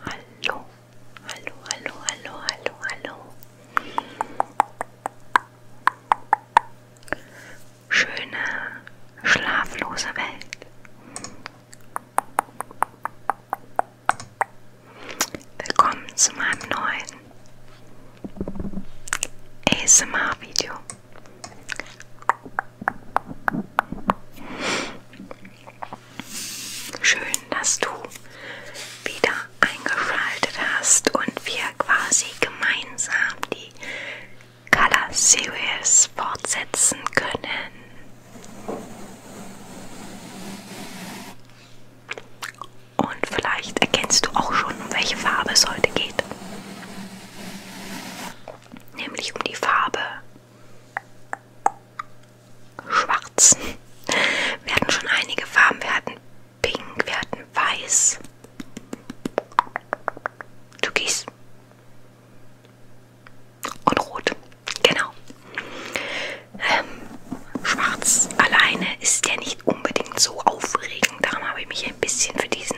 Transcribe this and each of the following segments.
Hallo, hallo, hallo, hallo, hallo, hallo. Schöne, schlaflose Welt. Willkommen zu meinem neuen ASMR-Video. Schön, dass du wieder eingeschaltet hast und wir quasi gemeinsam die Color Series fortsetzen können. Und vielleicht erkennst du auch schon, um welche Farbe es heute geht. Nämlich um die Farbe schwarz. Wir hatten schon einige Farben. Wir hatten pink, wir hatten weiß. Türkis. Und rot. Genau. Ähm, schwarz alleine ist ja nicht unbedingt so aufregend. Darum habe ich mich ein bisschen für diesen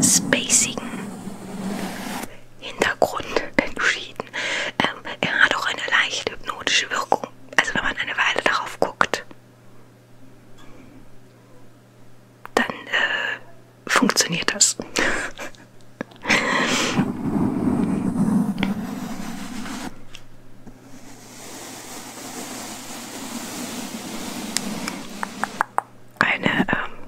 spacigen Hintergrund entschieden. Ähm, er hat auch eine leicht hypnotische Wirkung. Also wenn man eine Weile darauf guckt, dann äh, funktioniert das. Eine ähm,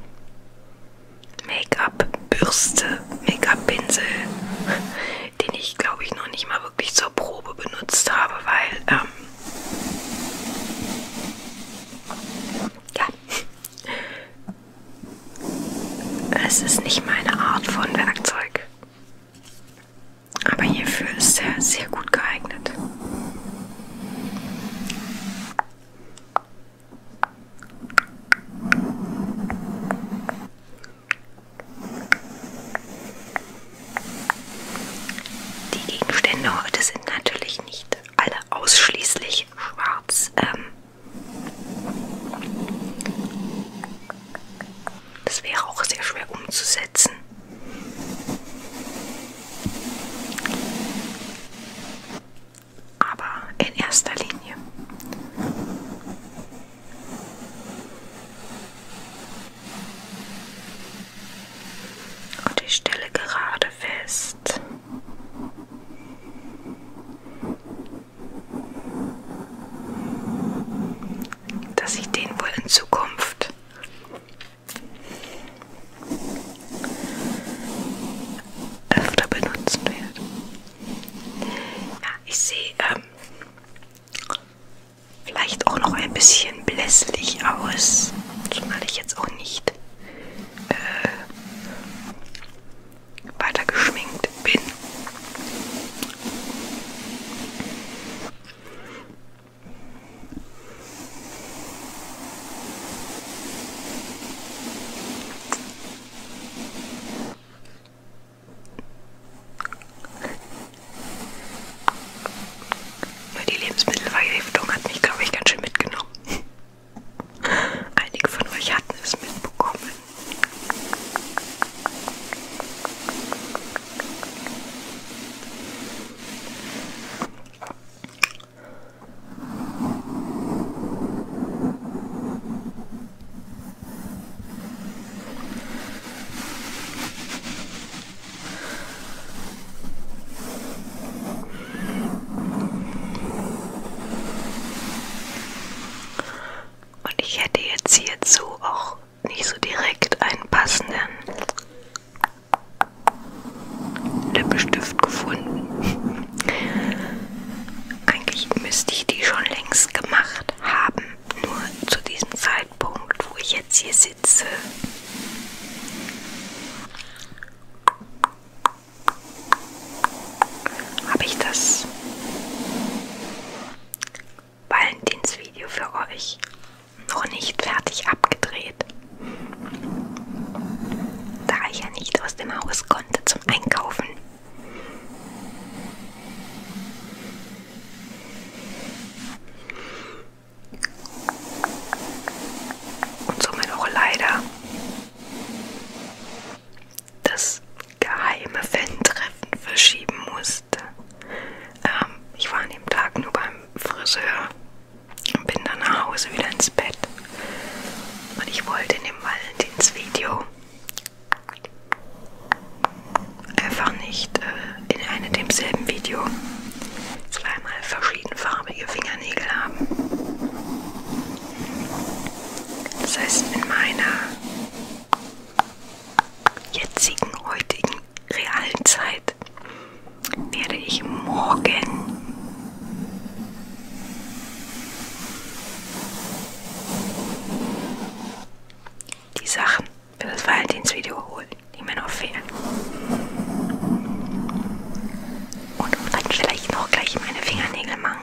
Make-up-Bürste, Make-up-Pinsel, den ich glaube ich noch nicht mal wirklich zur Probe benutzt habe, weil, ähm, ja, es ist nicht meine Art von Werkzeug. Aber hierfür ist er sehr gut geeignet. Die Gegenstände heute sind natürlich nicht alle ausschließlich schwarz. Ähm das wäre auch sehr schwer umzusetzen aber in erster Linie. Und ich stelle gerade fest, dass ich den wohl in Zukunft öfter benutzen werde. Ja, ich sehe ähm, vielleicht auch noch ein bisschen blässlich aus, zumal ich jetzt auch nicht äh, weiter geschminkt bin. Nur die Lebensmittelvergiftung hat mich, glaube ich, ganz schön mitgenommen. Einige von euch hatten es mitbekommen. Und ich hätte jetzt hierzu auch nicht so direkt einen passenden Lippenstift gefunden. Eigentlich müsste ich die schon längst gemacht haben, nur zu diesem Zeitpunkt, wo ich jetzt hier sitze. Habe ich das Valentinsvideo für euch noch nicht fertig abgedreht? Da ich ja nicht aus dem Haus konnte zum Einkaufen. Und somit auch leider das geheime Fan-Treffen verschieben musste. Ähm, ich war an dem Tag nur beim Friseur und bin dann nach Hause wieder ins Bett. Und ich wollte in dem Valentinsvideo einfach nicht äh, in einem demselben Video zweimal verschiedenfarbige Fingernägel haben. Das heißt, in meiner jetzigen, heutigen, realen Zeit werde ich morgen die Sachen für das Valentinsvideo holen, die mir noch fehlen. Und dann vielleicht noch gleich meine Fingernägel machen.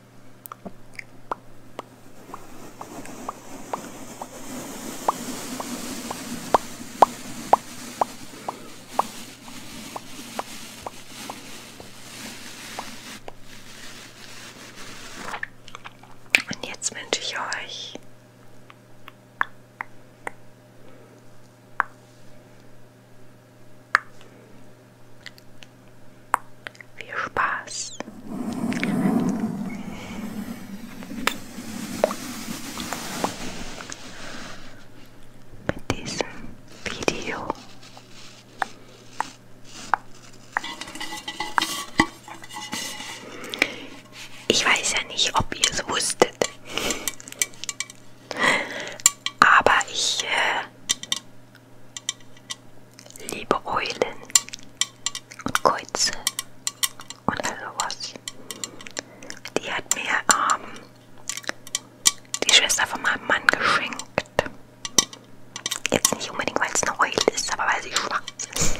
Und jetzt wünsche ich euch viel Spaß! Mit diesem Video. Ich weiß ja nicht, ob ihr es wusstet, aber ich äh, Liebe Eulen und Käuze und all sowas. Die hat mir ähm, die Schwester von meinem Mann geschenkt. Jetzt nicht unbedingt, weil es eine Eule ist, aber weil sie schwarz ist.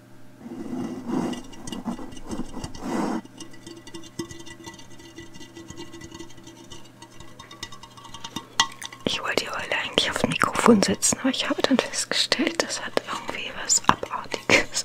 Ich wollte die Eule eigentlich aufs Mikrofon setzen, aber ich habe dann festgestellt, das hat irgendwie was Abartiges.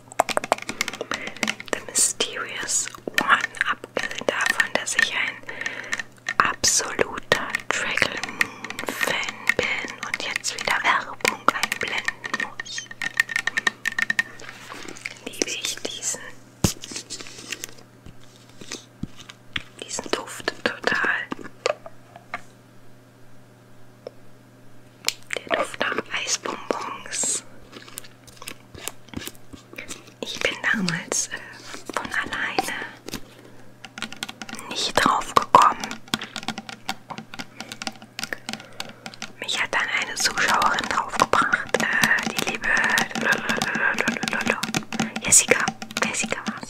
The Mysterious One, abgesehen also davon, dass ich ein absoluter Dragon Moon Fan bin und jetzt wieder Werbung einblenden muss. Liebe ich diesen, diesen Duft total. Der Duft nach Eisbonbons. Ich bin damals äh, von alleine nicht drauf gekommen. Mich hat dann eine Zuschauerin draufgebracht, äh, die liebe Lalalala. Jessica. Jessica war's.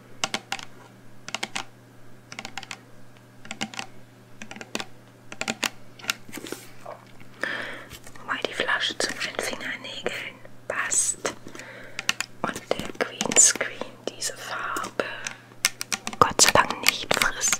Wobei die Flasche zwischen den Fingernägeln passt. Und der Green Screen diese Farbe Gott sei Dank nicht frisst.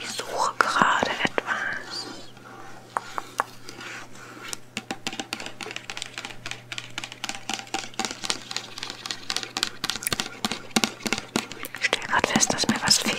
Ich suche gerade etwas. Ich stelle gerade fest, dass mir was fehlt.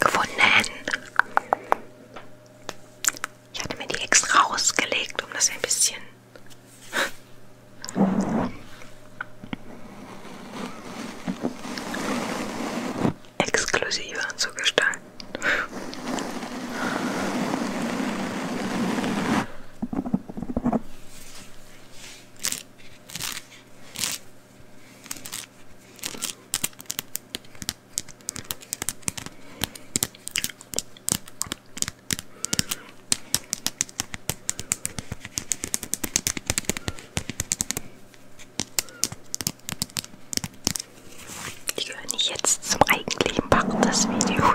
Gefunden. Ich hatte mir die extra rausgelegt, um das ein bisschen Exklusiver zu gestalten. Die gehören nicht jetzt zum eigentlichen Part des Videos.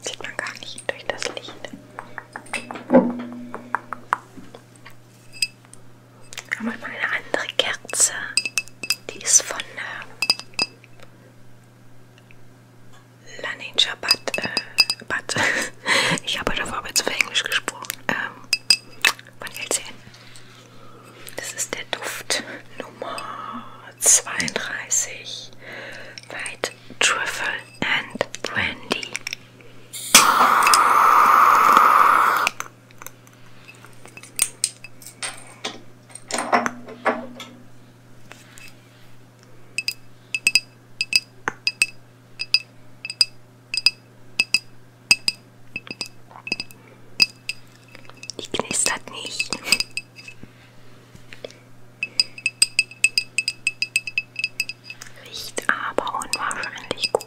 Sieht man gar nicht durch das Licht. Aber ich mal eine andere Kerze. Die ist von äh, La Ninja Bat. Äh, Bat. ich habe davor jetzt auf Englisch gesprochen. Ähm, man hält sie hin. Das ist der Duft Nummer 32. White Truffle and Brandy. Die knistert nicht. Riecht aber unwahrscheinlich gut.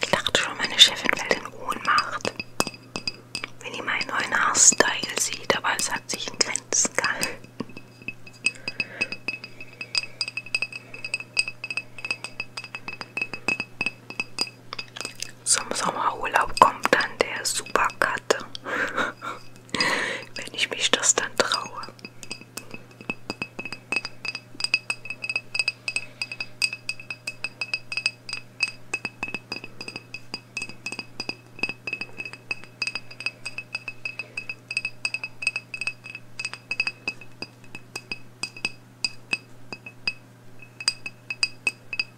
Ich dachte schon, meine Chefin fällt in Ohnmacht, wenn ihr meinen neuen Haarstyle sieht, aber es hat sich in Grenzen gehalten. Zum Sommerurlaub kommt dann der Supercut. Wenn ich mich das dann traue.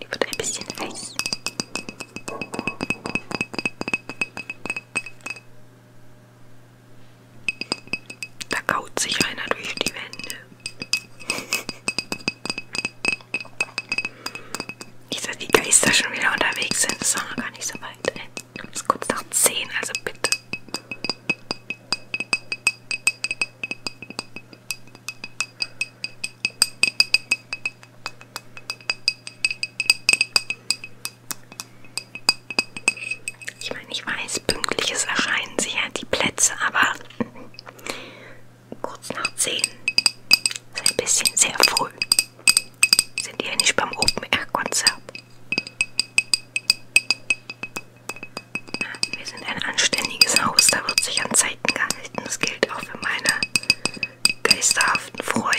Die wird ein bisschen heiß. Da kaut sich einer durch die Wände. Nicht, dass die Geister schon wieder unterwegs sind, das ist doch noch gar nicht so weit. Ey. Es ist kurz nach 10, also bitte. Ich meine, ich weiß, pünktliches erscheinen sie ja die Plätze, aber kurz nach 10 ist ein bisschen sehr früh. Sind ihr nicht beim Open Air Konzert? Wir sind ein anständiges Haus, da wird sich an Zeiten gehalten. Das gilt auch für meine geisterhaften Freunde.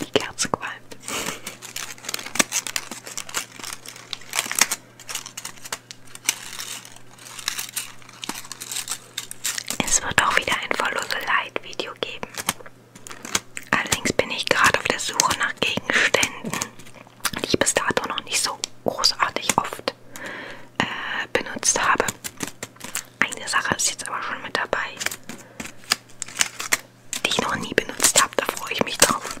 Die Kerze qualmt. Es wird auch wieder ein Follow the Light Video geben. Allerdings bin ich gerade auf der Suche nach Gegenständen, die ich bis dato noch nicht so großartig oft äh, benutzt habe. Eine Sache ist jetzt aber schon mit dabei, die ich noch nie benutzt habe. Da freue ich mich drauf.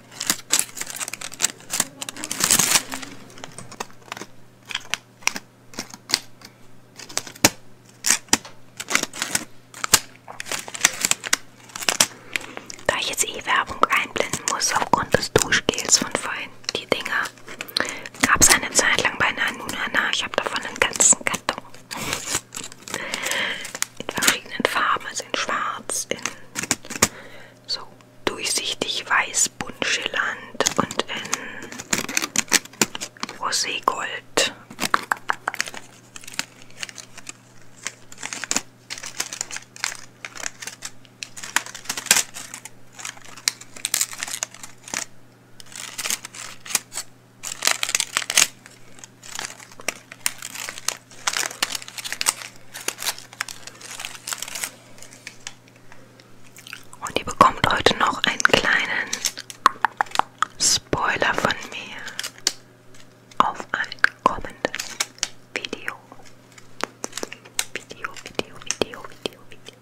Da ich jetzt eh Werbung einblenden muss aufgrund des Duschgels von vorhin, die Dinger, gab es eine Zeit lang bei Nanunana. Ich habe davon einen ganzen Karton. In verschiedenen Farben, also in schwarz, in so durchsichtig weiß bunt schillernd und in Roségold. Und ihr bekommt heute noch einen kleinen Spoiler von mir auf ein kommendes Video. Video, Video, Video, Video, Video, Video.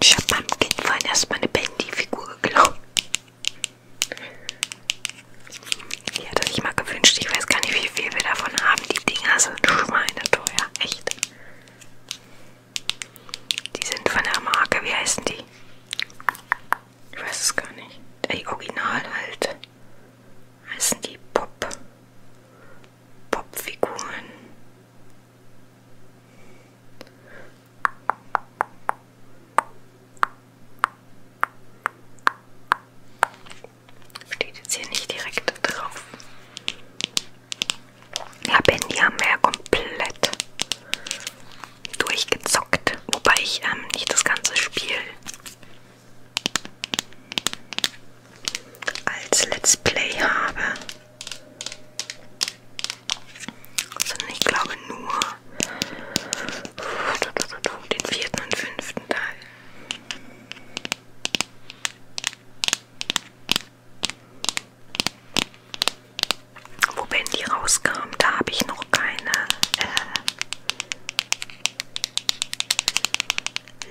Ich habe meinem Kind vorhin erstmal eine Bendy-Figur geklaut. Die hat er sich mal gewünscht. Ich weiß gar nicht, wie viel wir davon haben. Die Dinger sind schweineteuer. Echt. Die sind von der Marke. Wie heißen die? Ich weiß es gar nicht. Die Original halt. Heißen die Pop. Popfiguren. Steht jetzt hier nicht direkt drauf. Ja, Ben, die haben wir ja komplett durchgezockt. Wobei ich ähm, nicht das ganze Spiel als Let's Play habe. Sondern ich glaube nur den vierten und fünften Teil. Wo Bendy rauskam, da habe ich noch keine. Äh,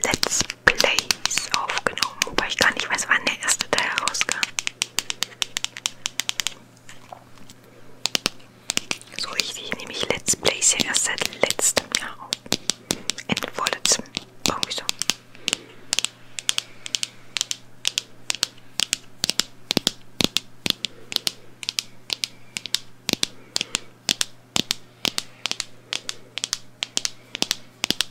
Let's Plays aufgenommen, wobei ich gar nicht weiß, wann der erste Teil rauskam. So richtig nehme ich Let's Plays ja erst seit letztem Jahr auf. Ende vorletztem. Irgendwie so.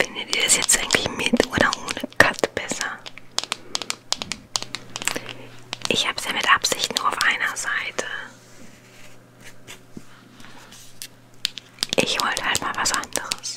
Findet ihr das jetzt eigentlich mit oder ohne Cut besser? Ich habe es ja mit Absicht nur auf einer Seite. Ich wollte halt mal was anderes.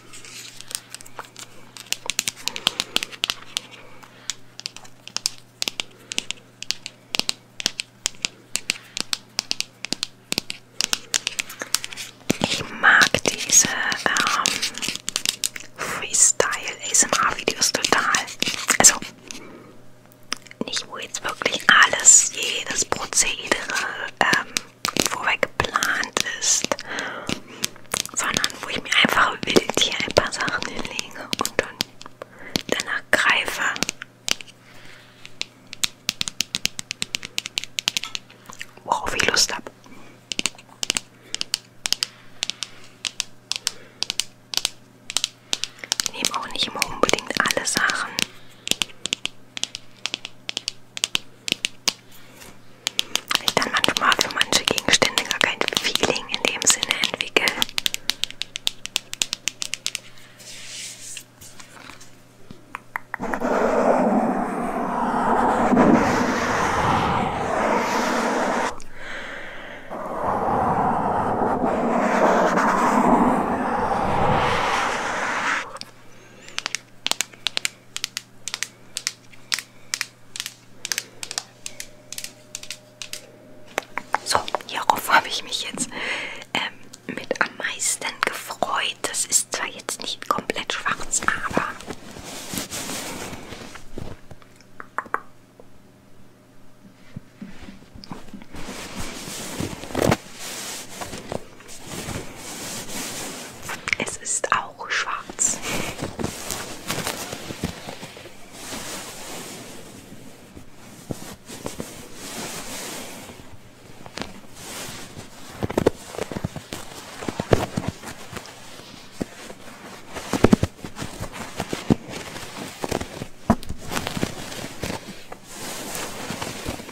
Ich mag diese ähm, Freestyle-ASMR-Videos total. Also nicht, wo jetzt wirklich alles, jedes Prozedere ähm, vorher geplant ist, sondern wo ich mir einfach wild hier ein paar Sachen hinlege und dann danach greife. Worauf ich Lust habe. Ich nehme auch nicht immer unbedingt alle Sachen. Ich dann manchmal für manche Gegenstände gar kein Feeling in dem Sinne entwickle. So, hierauf habe ich mich jetzt ähm, mit am meisten gefreut. Das ist zwar jetzt nicht komplett schwarz, aber... Es ist auch schwarz.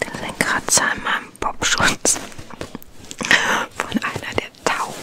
Da sind Kratzer an meinem Popschutz von einer der Tauben.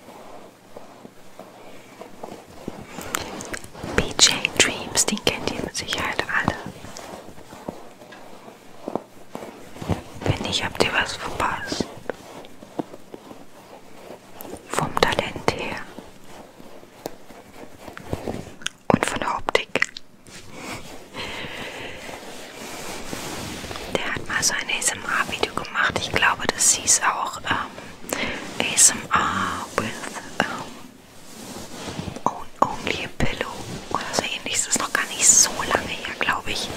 BJ Dreams, den kennt ihr mit Sicherheit alle. Wenn nicht, habt ihr was verpasst. Vom Talent her. Und von der Optik. Der hat mal so ein ASMR-Video gemacht. Ich glaube, das hieß auch ähm, ASMR with ähm, Only a Pillow oder so ähnlich. Das ist noch gar nicht so lange her, glaube ich.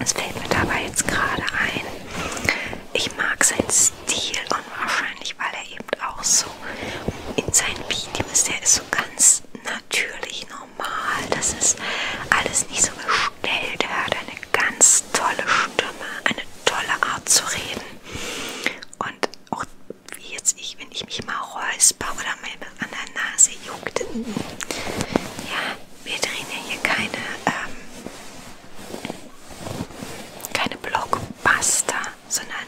Es fällt mir dabei jetzt gerade ein. Ich mag seinen Stil unwahrscheinlich, weil er eben auch so in seinen Videos, der ist so ganz natürlich, ne? normal. Das ist alles nicht so gestellt. Er hat eine ganz tolle Stimme, eine tolle Art zu reden. Und auch wie jetzt ich, wenn ich mich mal räusper oder mal an der Nase juckt. Ja, wir drehen ja hier keine, ähm, keine Blockbuster, sondern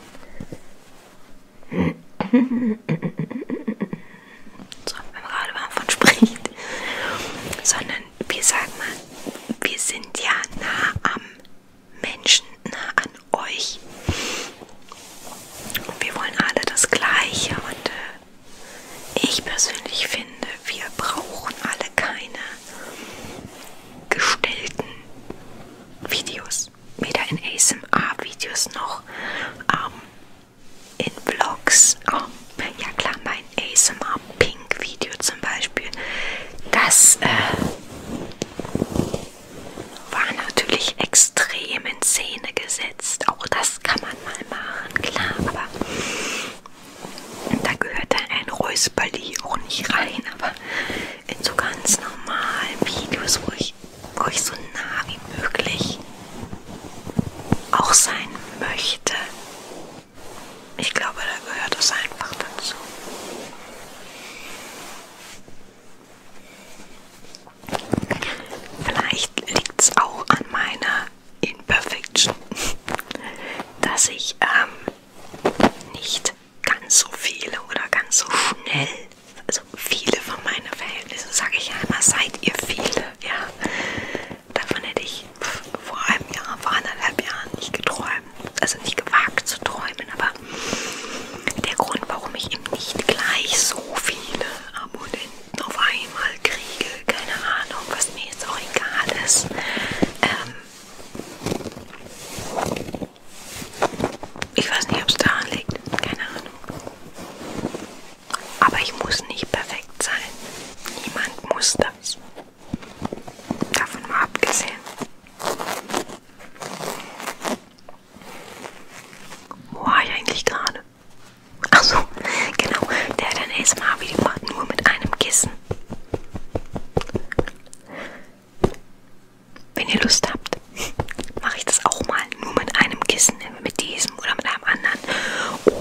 so beim Radfahren von spricht, sondern wir sagen mal, wir sind ja nah am Menschen, nah an euch. Und wir wollen alle das Gleiche. Und äh, ich persönlich finde, wir brauchen alle keine gestellten Videos. Weder in ASMR-Videos noch ähm, in Vlogs, oh, ja klar, mein ASMR Pink Video zum Beispiel, das äh, war natürlich extrem in Szene gesetzt. Auch das kann man mal machen, klar, aber da gehört dann ein Räusperli auch nicht rein, aber in so ganz normalen Videos, wo ich, wo ich so nah wie möglich auch sein möchte. Ich glaube, da gehört es einfach dazu. Vielleicht liegt es auch an meiner Imperfection, dass ich ähm, nicht ganz so viele oder ganz so schnell, also viele von meinen Verhältnissen, sage ich ja immer, seid ihr viele, ja, davon hätte ich vor einem Jahr, vor anderthalb Jahren nicht geträumt, also nicht gewagt zu träumen, aber der Grund, warum ich eben nicht gleich so viele Abonnenten auf einmal kriege, keine Ahnung, was mir jetzt auch egal ist, ähm, ich weiß nicht, ob es daran liegt. Keine Ahnung. Aber ich muss nicht perfekt sein. Niemand muss das. Davon mal abgesehen. Wo war ich eigentlich gerade? Achso, genau. Der hat ein ASMR-Video gemacht, nur mit einem Kissen. Wenn ihr Lust habt, mache ich das auch mal nur mit einem Kissen, mit diesem oder mit am anderen.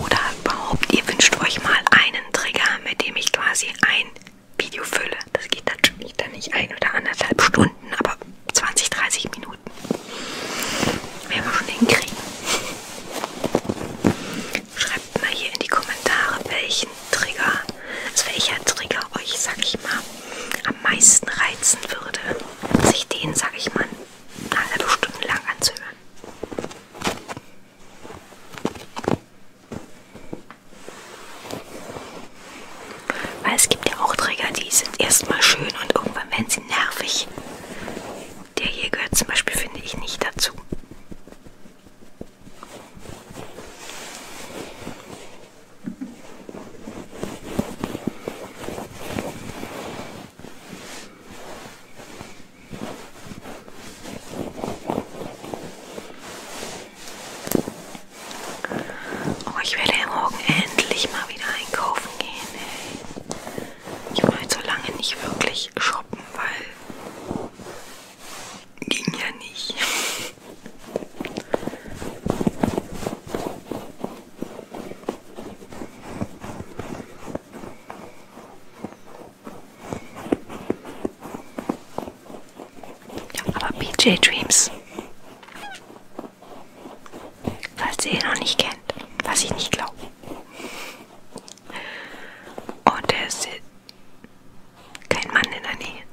Oder überhaupt, ihr wünscht euch mal einen Trigger, mit dem ich quasi ein Video fülle. Das geht natürlich dann nicht ein oder anderthalb Stunden, aber 20, 30 Minuten. Werden wir schon hinkriegen. Schreibt mal hier in die Kommentare, welchen Trigger, also welcher Trigger euch, sag ich mal, am meisten reizen würde, sich den, sag ich mal, eine halbe Stunde lang anzuhören. Weil es gibt ja auch Träger, die sind erstmal schön und irgendwann werden sie nervig. Der hier gehört zum Beispiel, finde ich, nicht dazu. Oh, ich werde morgen endlich mal wieder einkaufen gehen. Ey. Ich war jetzt halt so lange nicht wirklich shoppen, weil ging ja nicht. Ja, aber PJ Dreams. Falls ihr ihn noch nicht kennt, was ich nicht glaube. Und der ist kein Mann in der Nähe.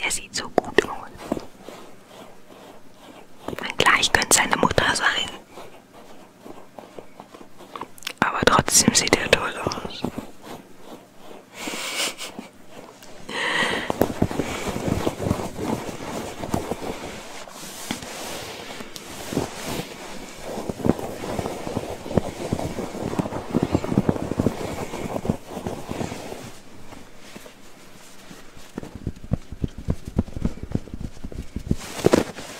Der sieht so gut aus. Na klar, ich könnte seine Mutter sein. Aber trotzdem sieht er toll aus.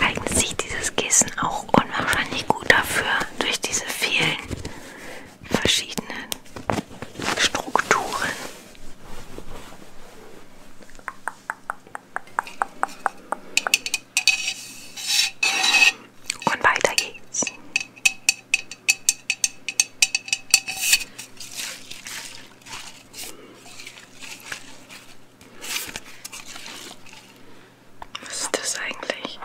Eignet sich dieses Kissen auch unwahrscheinlich gut dafür, durch diese vielen verschiedenen Strukturen. Und weiter geht's. Was ist das eigentlich?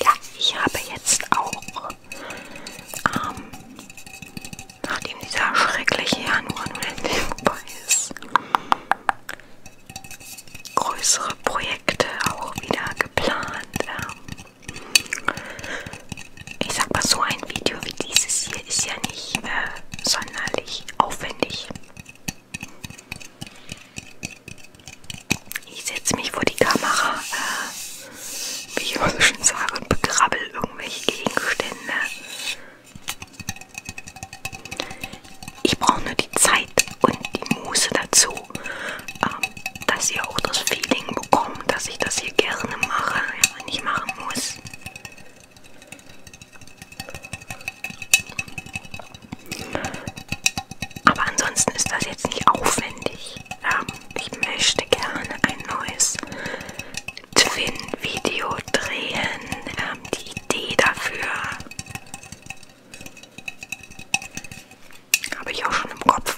Ja, ich habe jetzt auch ähm, nachdem dieser schreckliche Januar nun endlich vorbei ist, größere Projekte auch wieder geplant. Ähm. Ich sag mal, so ein Video wie dieses hier ist ja nicht äh, sonderlich aufwendig. Ich setze mich vor die Kamera, äh, wie ich immer so schön sage, und begrabbel irgendwelche Gegenstände ich brauche nur die Zeit und die Muße dazu, ähm, dass ihr auch das Feeling bekommt, dass ich das hier gerne mache, ja, wenn ich machen muss. Aber ansonsten ist das jetzt nicht aufwendig. Ähm, ich möchte gerne ein neues Twin-Video drehen, ähm, die Idee dafür habe ich auch schon im Kopf.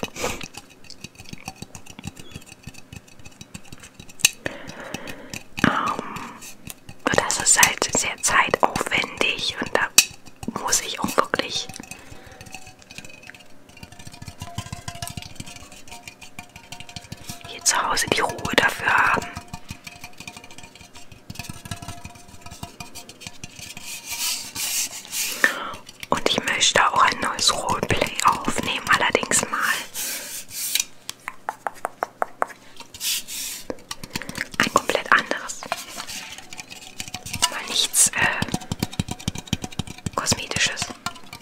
Ähm, das ist halt sehr zeitaufwendig und da muss ich auch wirklich hier zu Hause die Ruhe dafür haben. Und ich möchte auch ein neues Roleplay aufnehmen, allerdings mal ein komplett anderes. Mal nichts äh, Kosmetisches.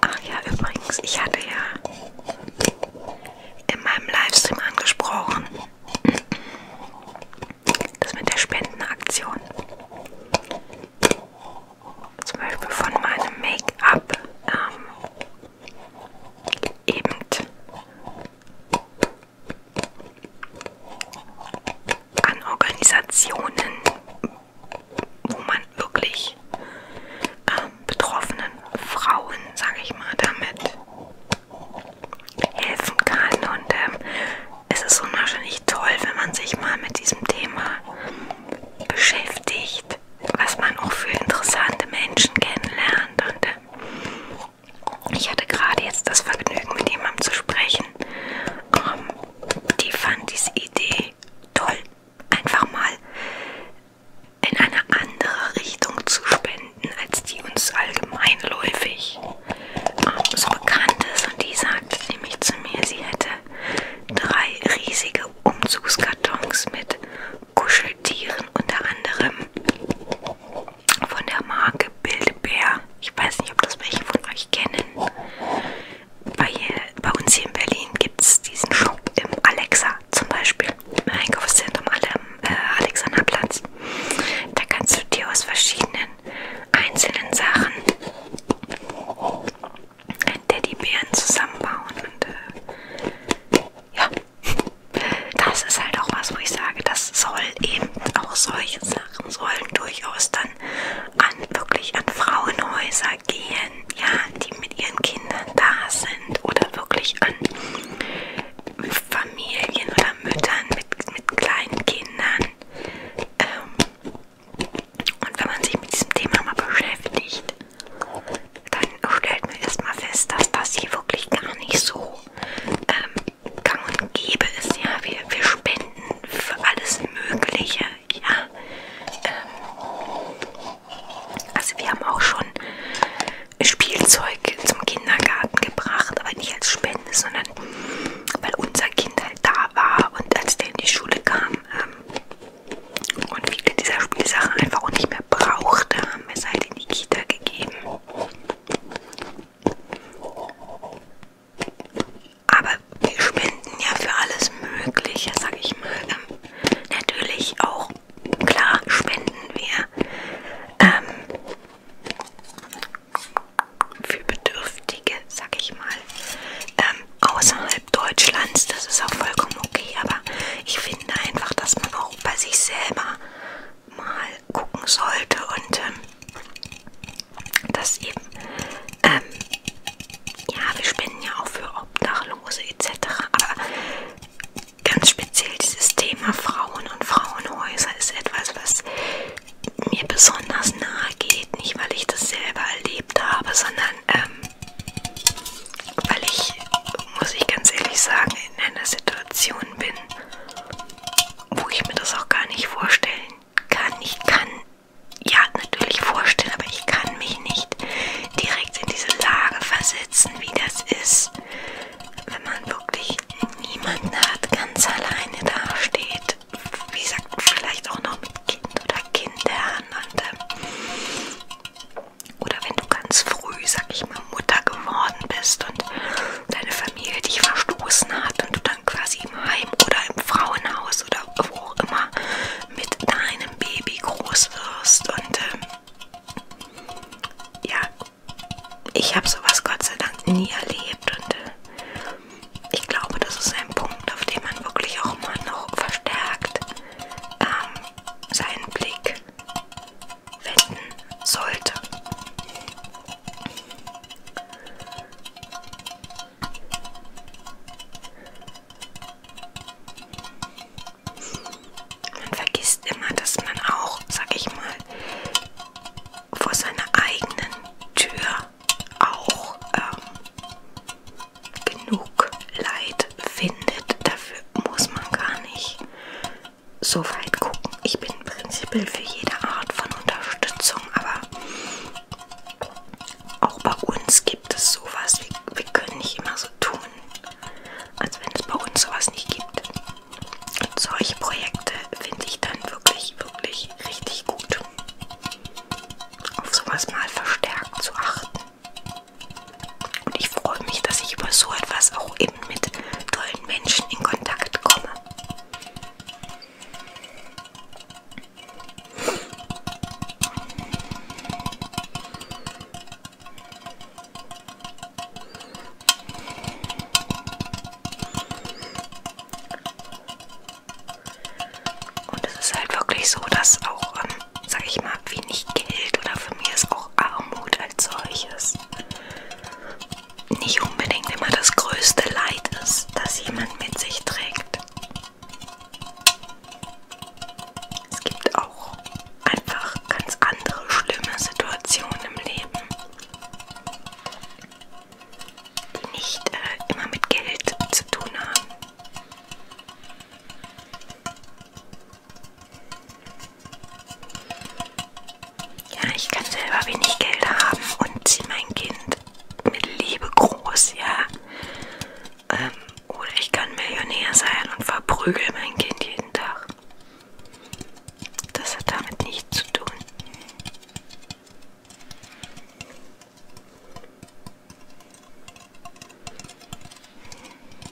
Ach ja, übrigens, ich hatte ja in meinem Livestream angesprochen, das mit der Spendenaktion. Zum Beispiel von meinem Make-up ähm, eben an Organisationen, wo man wirklich ähm, betroffenen Frauen, sage ich mal, damit helfen kann. Und ähm, es ist unwahrscheinlich toll, wenn man sich mal mit diesem Thema beschäftigt was man auch für interessante Menschen kennenlernt. Und äh, ich hatte gerade jetzt das Vergnügen, mit jemandem zu sprechen. Ähm, die fand diese Idee toll, einfach mal in eine andere Richtung zu spenden, als die uns allgemeinläufig ähm, so bekannt ist. Und die sagte nämlich zu mir, sie hätte drei riesige Umzugskartons mit Kuscheltieren, unter anderem von der Marke Bildbär. Ich weiß nicht, ob das welche von euch kennen. Bei, bei uns hier in Berlin gibt es diesen Shop im Alexa zum Beispiel, im Einkaufszentrum äh, Alexander Platz. Da kannst du dir aus verschiedenen einzelnen Sachen Teddybären zusammenbauen und äh, ja, das ist halt auch was, wo ich sage, das soll eben auch solche Sachen sollen durchaus dann an wirklich an Frauenhäuser gehen, ja, die mit ihren Kindern da sind oder wirklich an Familien oder Müttern mit, mit kleinen Kindern. Ähm, und wenn man sich mit diesem Thema mal beschäftigt, dann stellt man erstmal fest, dass das hier wirklich gar nicht so ähm, gang und gäbe ist. Ja, wir, wir spenden für alles Mögliche. Ja, ähm, also wir haben auch schon Spielzeug zum Kindergarten gebracht, aber nicht als Spende, sondern weil unser Kind halt da war und als der in die Schule kam, ähm, und viele dieser Spielsachen einfach auch nicht mehr brauchte, haben wir es halt in die Kita gegeben. Aber wir spenden ja für alles Mögliche, sag ich mal. Ähm, natürlich auch, klar, spenden wir ähm, für Bedürftige, sag ich mal, ähm, außerhalb Deutschlands. Das ist auch vollkommen okay, aber ich finde, finde einfach, dass man auch bei sich selber mal gucken sollte und ähm, das eben, ähm, ja, wir spenden ja auch für Obdachlose etc., aber ganz speziell dieses Thema Frauen und Frauenhäuser ist etwas, was mir besonders nahe geht, nicht weil ich das selber erlebt habe, sondern ähm, weil ich, muss ich ganz ehrlich sagen, in einer Situation bin, wo ich mir das auch gar nicht vorstellen kann. Ich kann, ja, natürlich vorstellen, aber ich kann mich nicht direkt in diese Lage versetzen, wie das ist, wenn man wirklich niemanden hat, ganz alleine dasteht. Wie gesagt, vielleicht auch noch mit Kind oder Kindern. Und, ähm, oder wenn du ganz früh, sag ich mal, Mutter geworden bist und deine Familie dich verstoßen hat und du dann quasi im Heim oder im Frauenhaus oder wo auch immer mit deinem Baby groß wirst. Und ähm, ja, ich habe sowas Gott sei Dank nie erlebt und äh, ich glaube, das ist ein Punkt, auf den man wirklich auch mal noch verstärkt ähm, seinen Blick wenden sollte. Man vergisst immer, dass man auch, sag ich mal, vor seiner eigenen Tür auch ähm, genug Leid findet dafür muss man gar nicht so weit gucken. Ich bin prinzipiell für jede Art von Unterstützung, aber auch bei uns gibt es sowas. Wir, wir können nicht immer so tun, als wenn es bei uns sowas nicht gibt. Und solche Projekte finde ich dann wirklich, wirklich richtig gut. Auf sowas mal verstärkt zu achten. Und ich freue mich, dass ich über so etwas auch eben mit tollen Menschen in Kontakt komme. Und es ist halt wirklich so, dass auch, ähm, sag ich mal, wenig Geld oder für mich ist auch Armut als solches nicht unbedingt immer das größte Leid ist, das jemand mit sich trägt. Es gibt auch einfach ganz andere schlimme Situationen im Leben, die nicht äh, immer mit Geld zu tun haben. Ja, ich kann selber wenig Geld haben und ziehe mein Kind mit Liebe groß, ja. Ähm, oder ich kann Millionär sein und verprügel mein Kind jeden Tag. Das hat damit nichts zu tun.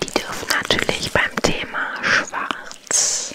Die dürfen natürlich beim Thema Schwarz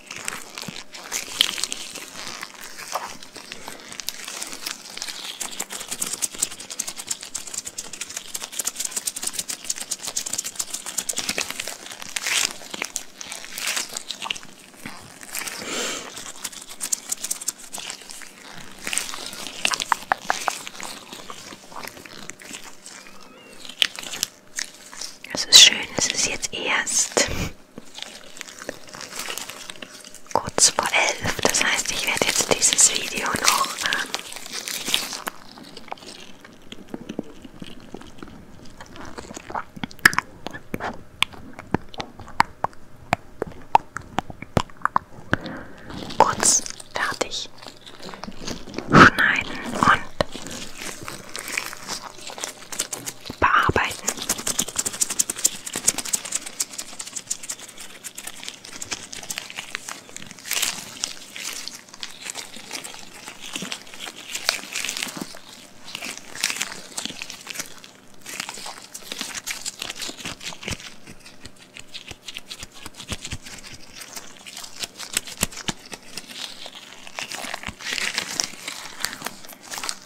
Es ist schön, es ist jetzt erst kurz vor elf. Das heißt, ich werde jetzt dieses Video noch ähm, kurz fertig schneiden und bearbeiten.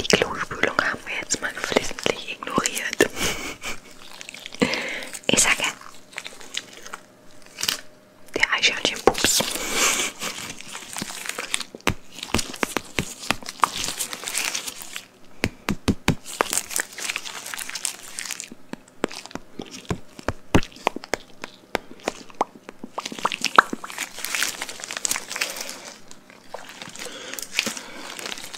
Die Klospülung haben wir jetzt mal geflissentlich ignoriert. Ich sage, der Eichhörnchenpups.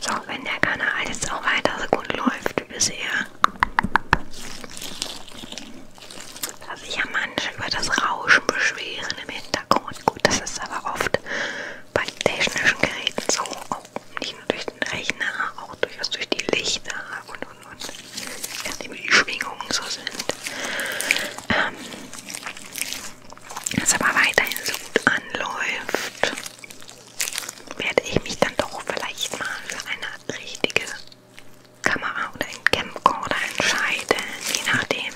So, wenn der Kanal jetzt auch weiter so gut läuft wie bisher, dass sich ja manche über das Rauschen beschweren im Hintergrund. Und gut, das ist aber oft bei technischen Geräten so, auch nicht nur durch den Rechner, auch durchaus durch die Lichter und und und, nachdem die Schwingungen so sind. Ähm, dass aber weiterhin so gut anläuft, werde ich mich dann doch vielleicht mal für eine richtige Kamera oder ein Camcorder entscheiden, je nachdem,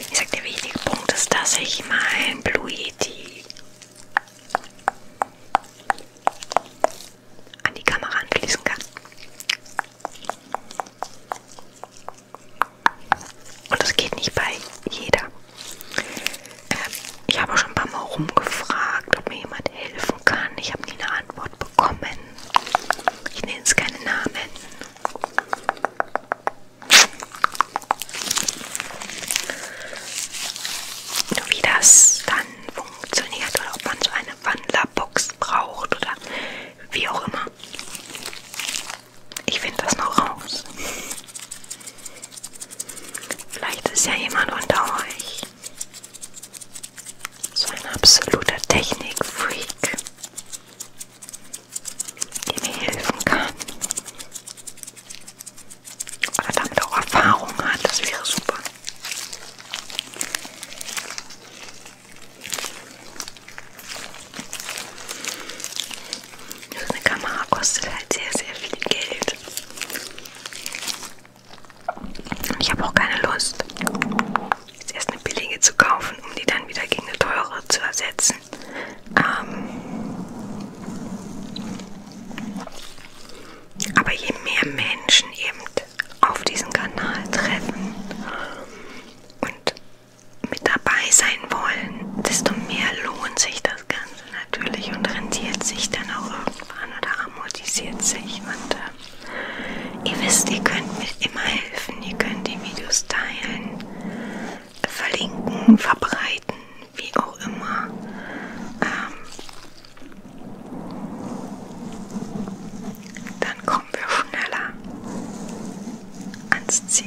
ich sag, der wichtige Punkt ist, dass ich mein Blue Yeti an die Kamera anschließen kann. Und das geht nicht bei jeder. Ähm, ich habe auch schon ein paar Mal rumgefragt, ob mir jemand helfen kann. Ich habe nie eine Antwort bekommen. Ich nenne es keine Namen. Nur wie das dann funktioniert oder ob man so eine Wandlerbox braucht oder wie auch immer. Ich finde das noch raus. Vielleicht ist ja jemand unter euch so ein absoluter Technikfreak die mir helfen kann. Oder damit auch Erfahrung hat, das wäre super. So eine Kamera kostet halt sehr, sehr viel Geld. Und ich habe auch keine Lust, jetzt erst eine billige zu kaufen, um die dann wieder gegen eine teure zu ersetzen ist. Ähm, aber je mehr Menschen eben auf diesen Kanal treffen und mit dabei sein wollen, desto mehr lohnt sich das Ganze natürlich und rentiert sich dann auch irgendwann oder amortisiert sich. Und äh, ihr wisst, ihr könnt mir immer helfen, ihr könnt die Videos teilen, verlinken, verbreiten, wie auch immer. Ähm, dann kommen wir schneller ans Ziel.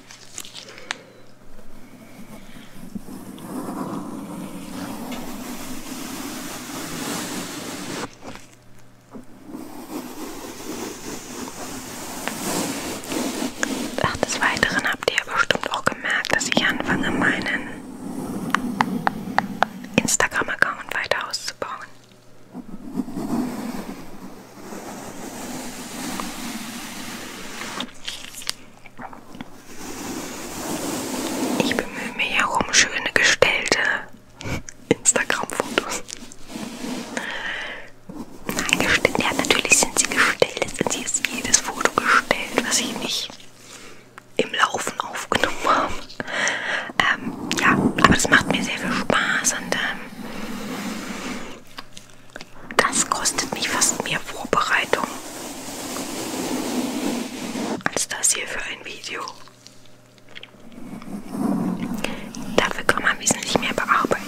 Ach, des Weiteren habt ihr bestimmt auch gemerkt, dass ich anfange, meinen Instagram-Account weiter auszubauen. Ich bemühe mich ja um schöne gestellte Instagram-Fotos. Nein, gestellt. Ja, natürlich sind sie gestellt. Sie ist jedes Foto gestellt, was ich nicht im Laufen aufgenommen habe. Ähm, ja, aber das macht mir sehr viel Spaß und ähm, das kostet mich fast mehr Vorbereitung als das hier für ein Video. Dafür kann man wesentlich mehr bearbeiten.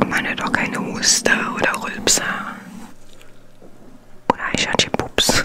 Und man hört auch keine Huster oder Rülpser. Oder Eichhörnchen-Pups.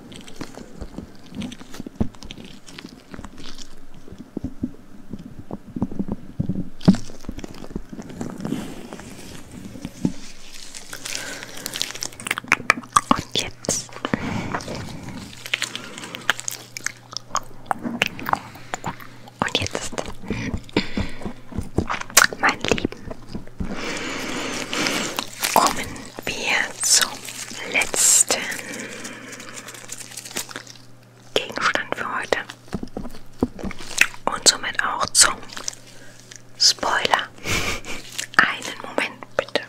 Und jetzt. Und jetzt ist mein Lieb Kommen wir zum letzten Gegenstand für heute und somit auch zum Spoiler. Einen Moment bitte.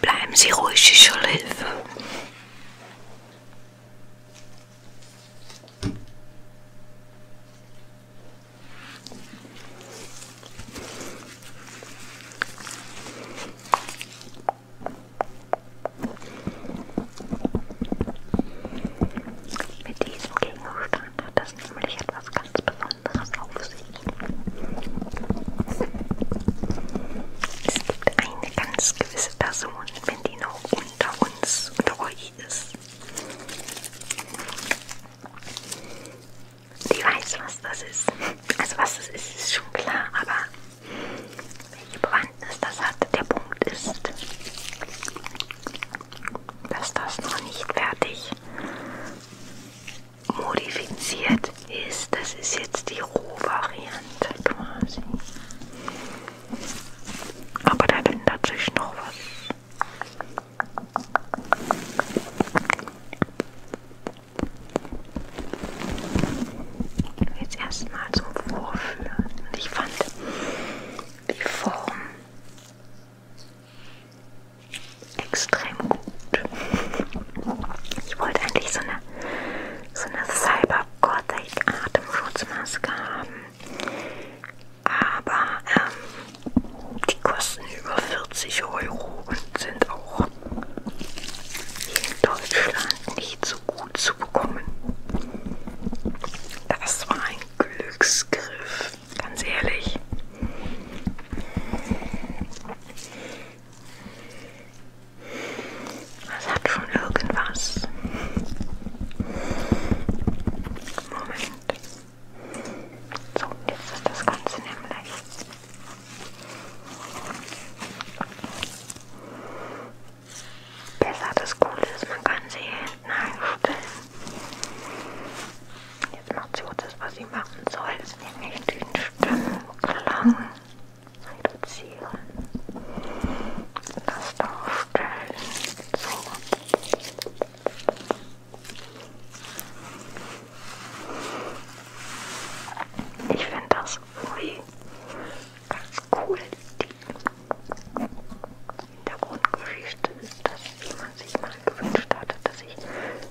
Bleiben Sie ruhig, ich hole Hilfe. Mit diesem Gegenstand hat das nämlich etwas ganz Besonderes auf sich. Es gibt eine ganz gewisse Person, wenn die noch unter uns, unter euch ist. Die weiß, was das ist. Also was das ist, ist schon klar, aber welche Bewandtnis das hat, der Punkt ist, dass das noch nicht fertig modifiziert ist. Das ist jetzt die Rohvariante quasi. Aber da drin dazwischen noch was. Jetzt erstmal zum Vorführen. Und ich fand die Form extrem gut. Ich wollte eigentlich so eine, so eine Cyber Gothic Atemschutzmaske haben aber ähm, die kosten über 40 Euro und sind auch hier in Deutschland nicht so gut zu bekommen. Das war ein Glücksgriff, ganz ehrlich. Das hat schon irgendwas. Moment. So, jetzt ist das Ganze nämlich besser. Das Coole ist, man kann sie hier hinten einstellen. Jetzt macht sie auch das, was sie machen soll, nämlich den Stimmenklang reduzieren. Das darstellen. So. Ich finde das irgendwie ganz cool. Die Hintergrundgeschichte ist, dass man sich mal gewünscht hatte, dass ich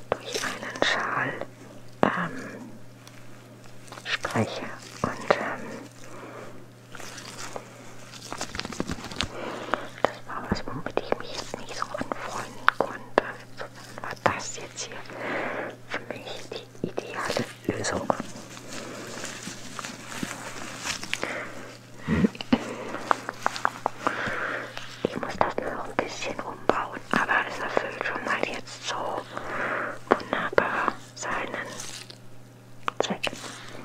durch einen Schal ähm, spreche und ähm, das war was, womit ich mich jetzt nicht so anfreunden konnte. Insofern war das jetzt hier für mich die ideale Lösung. Hm. Ich muss das nur noch ein bisschen umbauen, aber es erfüllt schon mal jetzt so wunderbar seinen Zweck.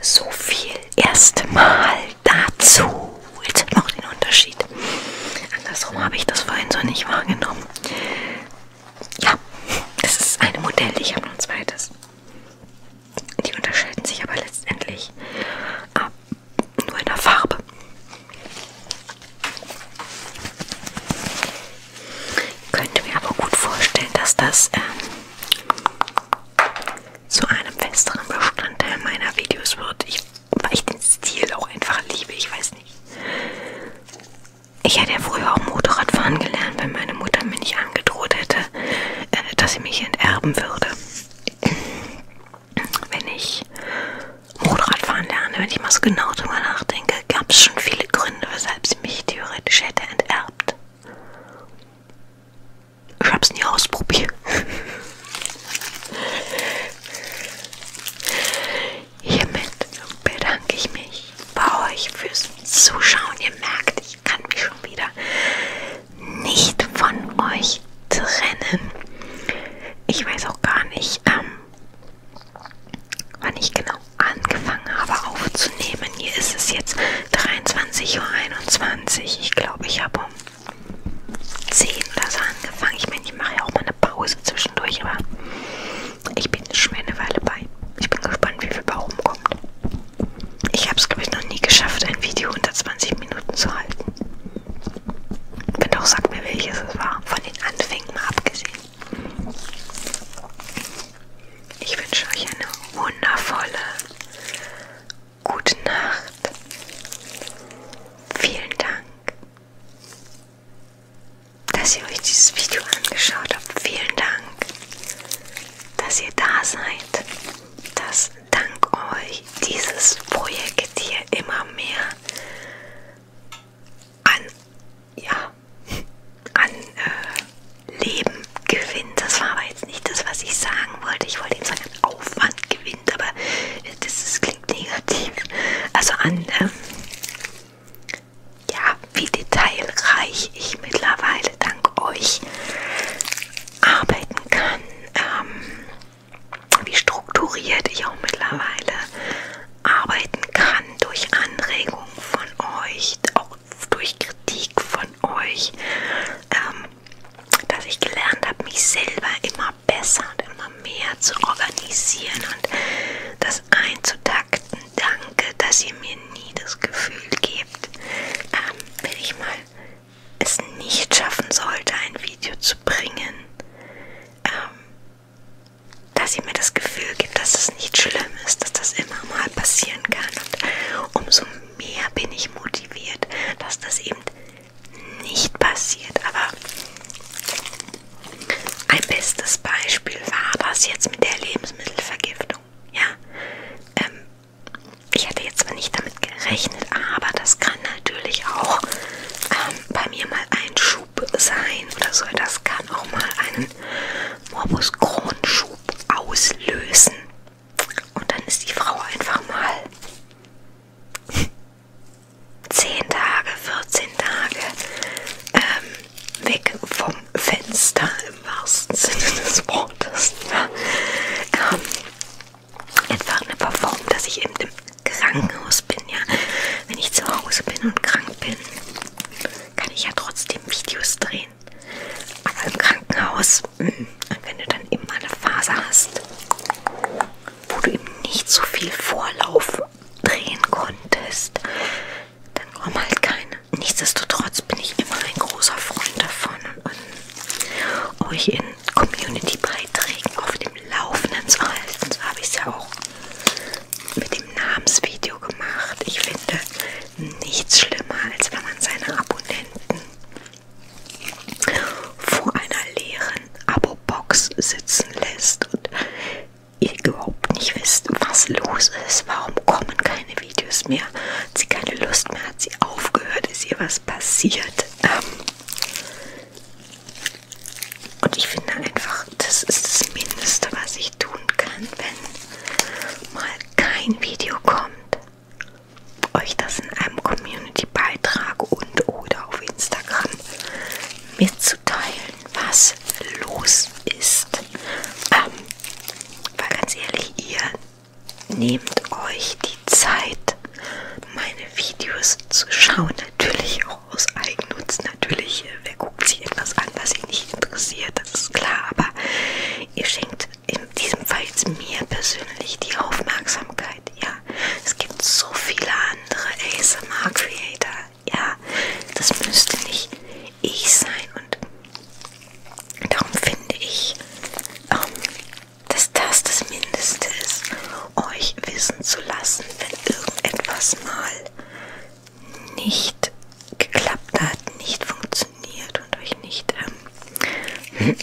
So viel erstmal dazu. Jetzt hat man auch den Unterschied. Andersrum habe ich das vorhin so nicht wahrgenommen. Ja, das ist ein Modell. Ich habe noch ein zweites. Die unterscheiden sich aber letztendlich ab, nur in der Farbe. Ich könnte mir aber gut vorstellen, dass das ähm, zu einem festeren Bestandteil meiner Videos wird. Ich, weil ich den Stil auch einfach liebe, ich weiß nicht. Ich hätte ja früher auch Motorradfahren gelernt, wenn meine Mutter mir nicht angedroht hätte, äh, dass sie mich enterben würde. Wenn ich Motorradfahren lerne, wenn ich mal so genau drüber nachdenke, gab es schon viele Gründe, weshalb sie mich theoretisch hätte enterbt. Ich hab's nie ausprobiert. Hiermit bedanke ich mich bei euch fürs Zuschauen. Ihr merkt, ich kann mich schon wieder nicht von euch trennen. Ich weiß auch gar nicht, ähm, wann ich genau angefangen habe aufzunehmen. Hier ist es jetzt 23.21 Uhr. Ich glaube, ich habe um 10 oder so angefangen. Ich meine, ich mache ja auch mal eine Pause zwischendurch, aber ich bin schon eine Weile bei. Ich bin gespannt, wie viel bei rumkommt. Ich habe es, glaube ich, noch nie geschafft, ein Video unter 20 Minuten zu halten. Wenn doch, sag mir, welches es war. Von den Anfängen mal abgesehen. Ich wünsche euch eine wundervolle gute Nacht. Vielen Dank, dass ihr euch dieses Video angeschaut habt. Vielen Dank, dass ihr da seid, dass dank euch dieses Projekt hier immer mehr an, ja, an äh, Leben gewinnt. Das war aber jetzt nicht das, was ich sagen wollte. Ich wollte eben sagen, an Aufwand gewinnt, aber das, das klingt negativ. Also an, ähm, ja, wie detailreich ich mittlerweile dank euch arbeiten kann, ähm, wie strukturiert ich auch mittlerweile arbeiten kann durch Anregungen von euch, auch durch Kritik von euch, ähm, dass ich gelernt habe, mich selber immer besser und immer mehr zu organisieren und das einzutakten. Danke, dass ihr mir nie das Gefühl gebt, ähm, wenn ich mal es nicht schaffen sollte, ein Video zu bringen, ähm, dass sie mir das Gefühl gibt, dass es nicht schlimm ist, dass das immer mal passieren kann. Und umso mehr bin ich motiviert, dass das eben nicht passiert. Aber ein bestes Beispiel war das jetzt mit der Lebensmittelvergiftung. Ja, ähm, ich hatte jetzt zwar nicht damit gerechnet, aber das kann natürlich auch ähm, bei mir mal ein Schub sein oder so. Das kann auch mal einen Morbus Kronschub auslösen. Und dann ist die Frau einfach mal 10 Tage, 14 Tage ähm, weg vom Fenster im wahrsten Sinne des Wortes. Ja. Ähm, einfach eine Verformung, dass ich eben im Krankenhaus bin. Ja. Wenn ich zu Hause bin und krank bin, kann ich ja trotzdem Videos drehen. Aber im Krankenhaus, hm, wenn du dann immer eine Phase hast, wo du eben nicht so viel Vorlauf drehen konntest, dann kommen halt keine. Nichtsdestotrotz bin ich immer ein großer Freund davon und euch in Community-Beiträgen auf dem Laufenden zu halten. So habe ich es ja auch mit dem Namensvideo gemacht. Ich finde nichts schlimmer, als wenn man seine Abonnenten vor einer leeren Abo-Box sitzen lässt und ihr überhaupt nicht wisst, was los ist, warum kommen keine Videos mehr, hat sie keine Lust mehr, hat sie aufgehört, ist ihr was passiert. Ähm, und ich finde einfach, das ist das Mindeste, was ich tun kann, wenn mal kein Video kommt. Euch das in einem Community-Beitrag und oder auf Instagram mitzuteilen, was los ist. Ähm, weil ganz ehrlich, ihr nehmt euch die Zeit, meine Videos zu schauen. Natürlich aus Eigennutz natürlich, äh, wer guckt sich etwas an, was ihn nicht interessiert, das ist klar, aber ihr schenkt in diesem Fall jetzt mir persönlich die Aufmerksamkeit, ja. Es gibt so viele andere ASMR-Creator, ja, das müsste nicht ich sein und darum finde ich, ähm, dass das das Mindeste ist, euch wissen zu lassen, wenn irgendetwas mal nicht geklappt hat, nicht funktioniert und euch nicht ähm,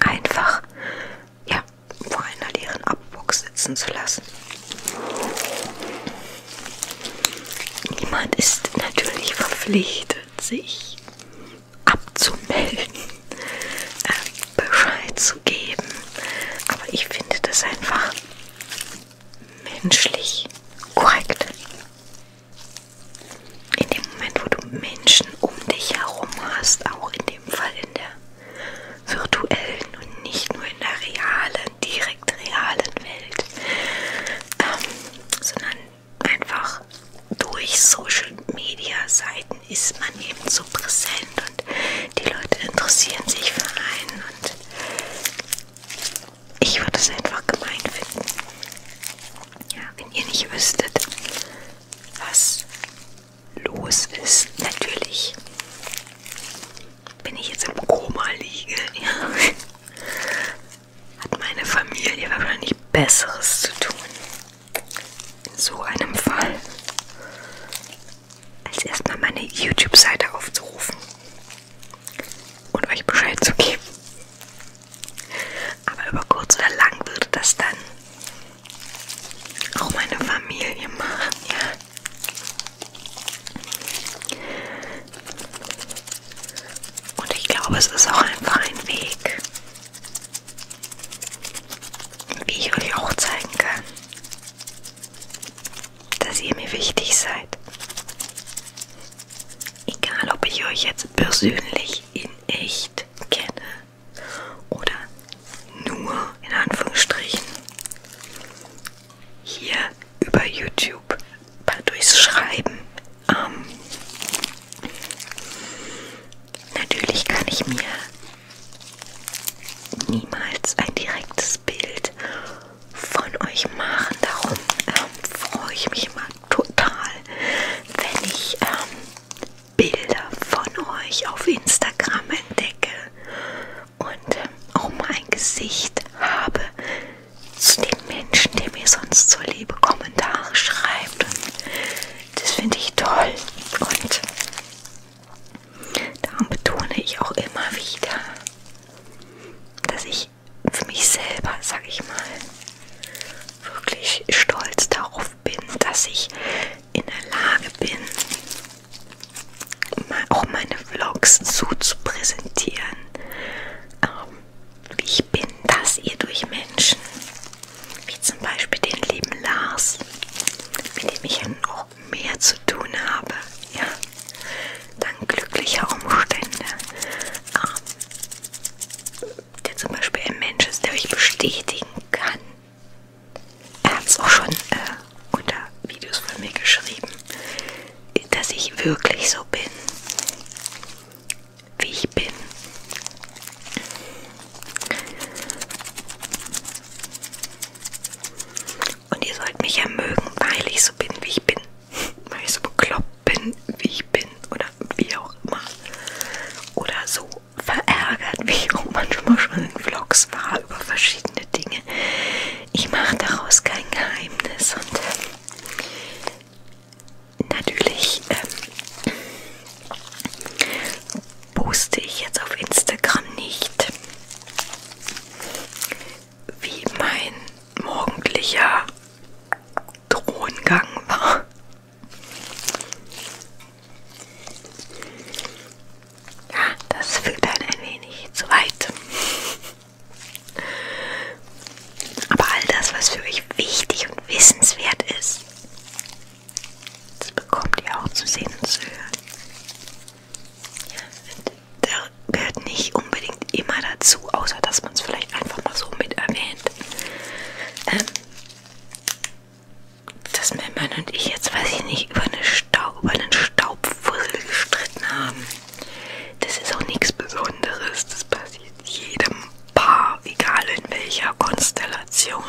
einfach ja, vor einer leeren Abbox sitzen zu lassen. Niemand ist natürlich verpflichtet, sich abzumelden, äh, Bescheid zu geben, aber ich finde das einfach menschlich korrekt. In dem Moment, wo du Menschen um dich herum hast, auch in dem Fall in der virtuellen und nicht nur in der realen, direkt realen Welt, ähm, sondern einfach durch Social Media Seiten ist man eben so präsent und die Leute interessieren sich für einen und ich würde es einfach gemein finden. Ja, wenn ihr nicht wüsstet, was los ist, natürlich. Wenn ich jetzt im Koma liege, ja, hat meine Familie wahrscheinlich Besseres zu tun. In so einem Fall als erstmal meine YouTube-Seite aufzurufen und euch Bescheid zu geben. Aber über kurz oder lang würde das dann auch meine Familie machen, ja. Und ich glaube, es ist auch einfach ein Weg, wie ich euch auch zeigen kann dass ihr mir wichtig seid. Egal, ob ich euch jetzt persönlich in echt kenne oder nur in Anführungsstrichen hier über YouTube durchs Schreiben. Ähm, natürlich kann ich mir niemals ein direktes Bild von euch machen. Darum ähm, freue ich mich immer total, wenn ich ähm, Bilder von euch auf Instagram entdecke und ähm, auch mal ein Gesicht habe zu den Menschen, die mir sonst so liebe Kommentare schreibt. Und das finde ich toll und Darum betone ich auch immer wieder, dass ich für mich selber, sag ich mal, wirklich stolz darauf bin, dass ich in der Lage bin, auch meine Vlogs so zu präsentieren, ähm, wie ich bin, dass ihr durch Menschen, wie zum Beispiel den lieben Lars, mit dem ich ja noch noch mehr zu tun habe, ja, dank glücklicher Umstände. Ähm, der zum Beispiel ein Mensch ist, der euch bestätigen kann. Er hat es auch schon äh, unter Videos von mir geschrieben, dass ich wirklich so bin, wie ich bin. Und ihr sollt mich ja mögen, weil ich so bin, wie ich bin. Weil ich so bekloppt bin, wie ich bin. Oder wie auch immer. Oder so verärgert, wie ich auch manchmal schon in Vlogs war über verschiedene Dinge. Ich mache daraus kein Geheimnis. Und ähm, natürlich ähm, poste ich jetzt auf Instagram nicht wie mein morgendlicher Throngang war. Ja, das führt dann ein wenig zu weit. Aber all das, was für euch wichtig und wissenswert ist, das bekommt ihr auch zu sehen und zu hören. Da gehört nicht unbedingt immer dazu, außer dass man es vielleicht einfach mal so mit erwähnt. Ähm, dass mein Mann und ich jetzt, weiß ich nicht, über, eine Staub, über einen Staubfussel gestritten haben. Das ist auch nichts Besonderes. Das passiert jedem Paar, egal in welcher Konstellation.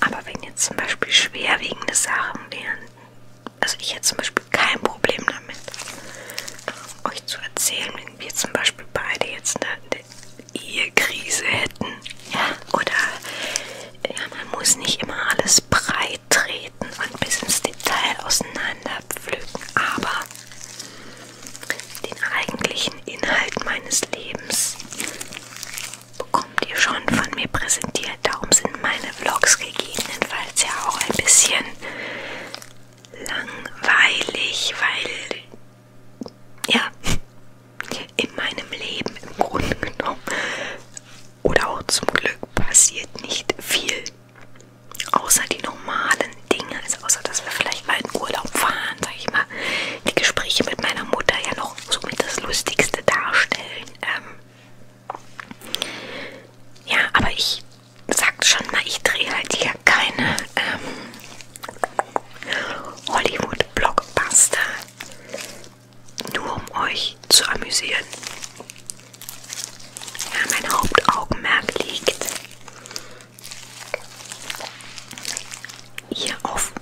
Aber wenn jetzt zum Beispiel schwerwiegende Sachen wären, also ich hätte zum Beispiel kein Problem damit, euch zu erzählen, wenn wir zum Beispiel beide jetzt eine, eine Ehekrise hätten. Ja, oder ja, man muss nicht immer alles breit treten und bis ins Detail auseinander pflücken, aber den eigentlichen Inhalt meines Lebens bekommt ihr schon von mir präsentiert. Darum sind meine Vlogs gegebenenfalls ja auch ein bisschen langweilig, weil ja in meinem Leben im Grunde genommen oder auch zum Glück passiert nicht viel. Außer die normalen Dinge, also außer dass wir vielleicht mal in Urlaub fahren, sag ich mal, die Gespräche mit meiner Mutter ja noch somit das Lustigste darstellen. Ähm, ja, aber ich sagte schon mal, ich drehe halt hier keine ähm, Hollywood-Blockbuster. Nur um euch zu amüsieren. Ja, mein Hauptaugenmerk liegt hier auf